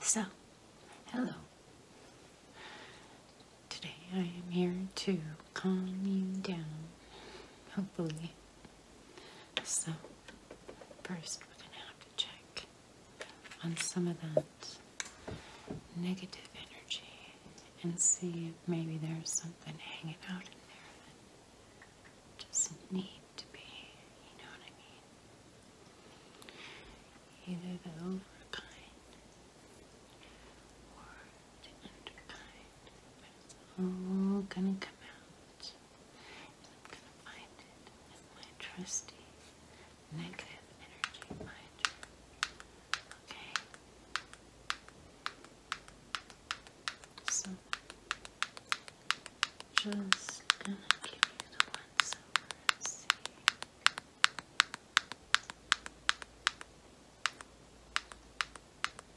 So, hello. Today I am here to calm you down, hopefully. So, first we're going to have to check on some of that negative energy and see if maybe there's something hanging out in there doesn't need to be, you know what I mean? Either the overkind or the underkind, but it's gonna come out. I'm gonna find it in my trusty negative energy binder. Okay? So, just gonna give you the ones over and see.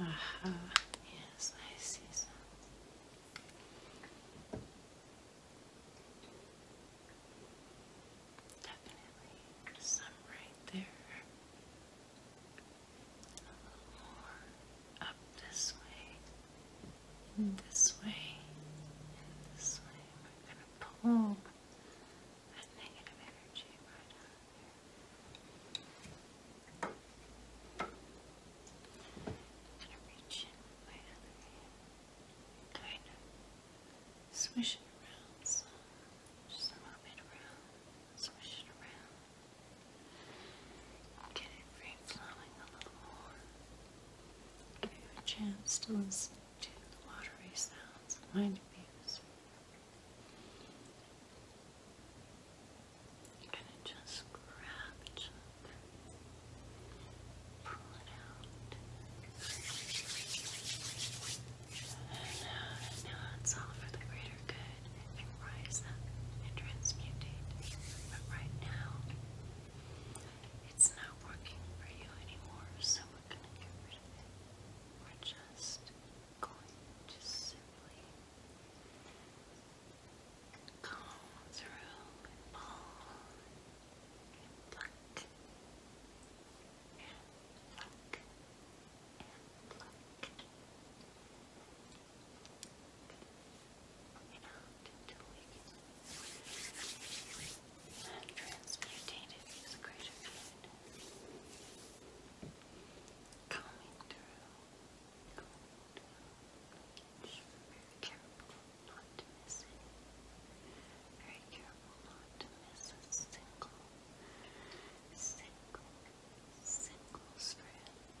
Aha, yes, I see some. Definitely some right there. a little more up this way this way, this way. We're going to pull that negative energy right out of going to reach in with my other swish it around just a little around, swish it around. Get it free flowing a little more. Give you a chance to listen to watery sounds of my diffuser. just grab each pull it out, and now it's all for the greater good and rise and transmutate, but right now it's not working for you anymore, so we're going to get it. We're just going to simply go through and pull and pluck and pluck and out Coming through, coming through, very careful not to miss it. Very careful not to miss a single, single, single strand.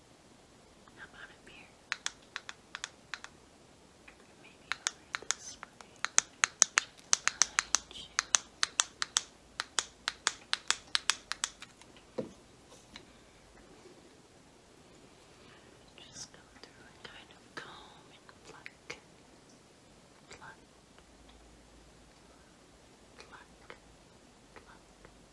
How about up here? Maybe over this way. you. Just go through and kind of comb and pluck. Pluck. Pluck. Pluck.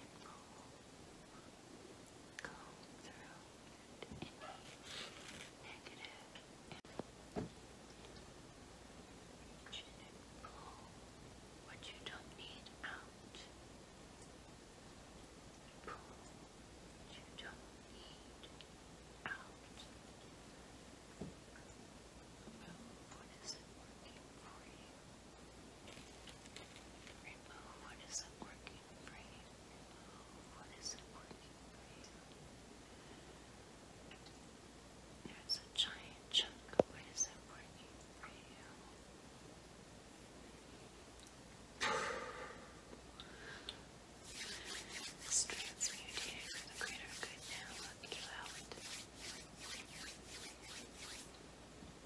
and comb. Comb through negative pull what you don't need out. Pull what you don't need out. Remove what isn't working for you. Remove what isn't working. What isn't for you? There's a giant chunk. What isn't for you? This for the greater good now. Let me out.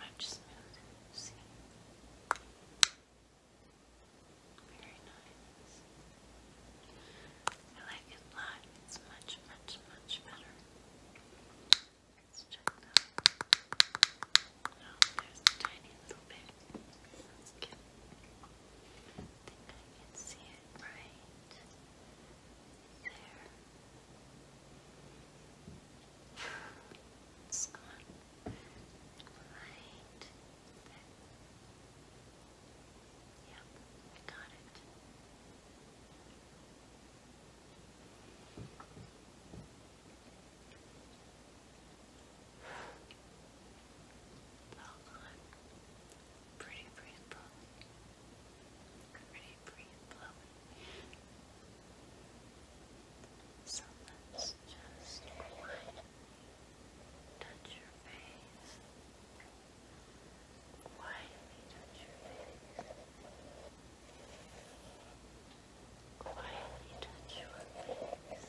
Much smoother, see? Very nice. I like it live. It's much, much, much better. Let's check that. Oh, there's a tiny little bit. That's good. I think I can see it right. There. It's gone. Yep, I got it. Pretty, pretty full. Ready, breathe, So let's just quietly touch your face. Quietly touch your face. Quietly touch your face.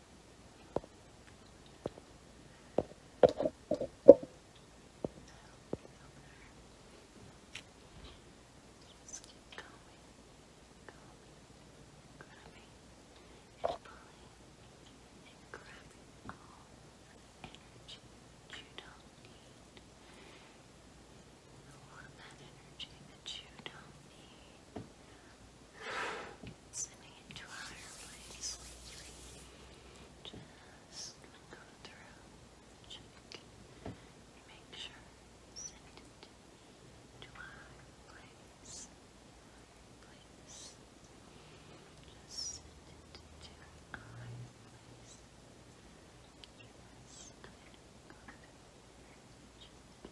Just keep going, going, grabbing and pulling and grabbing all the energy that you don't need. All of that energy that you don't need sending it to a place. Just go through, check, make sure, send it to a higher place. Place. Just send it to a place. Yes, good,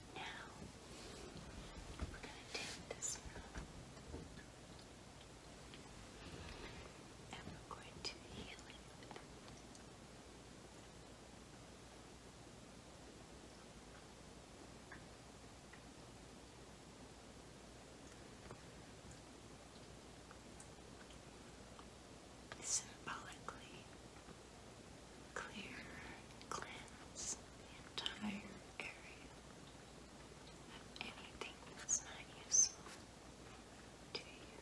Now we're gonna take this and we're going to heal it. Symbolically, clear, cleanse entire area of anything that's not useful to you.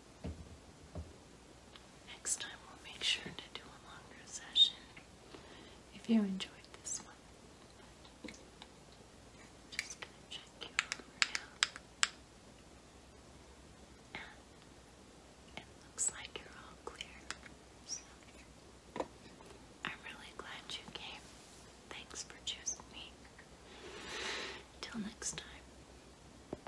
Next time we'll make sure to do a longer session if you enjoyed this one. just going to check you over now. And looks like you're all clear. So, I'm really glad you came. Thanks for choosing me. Till next time.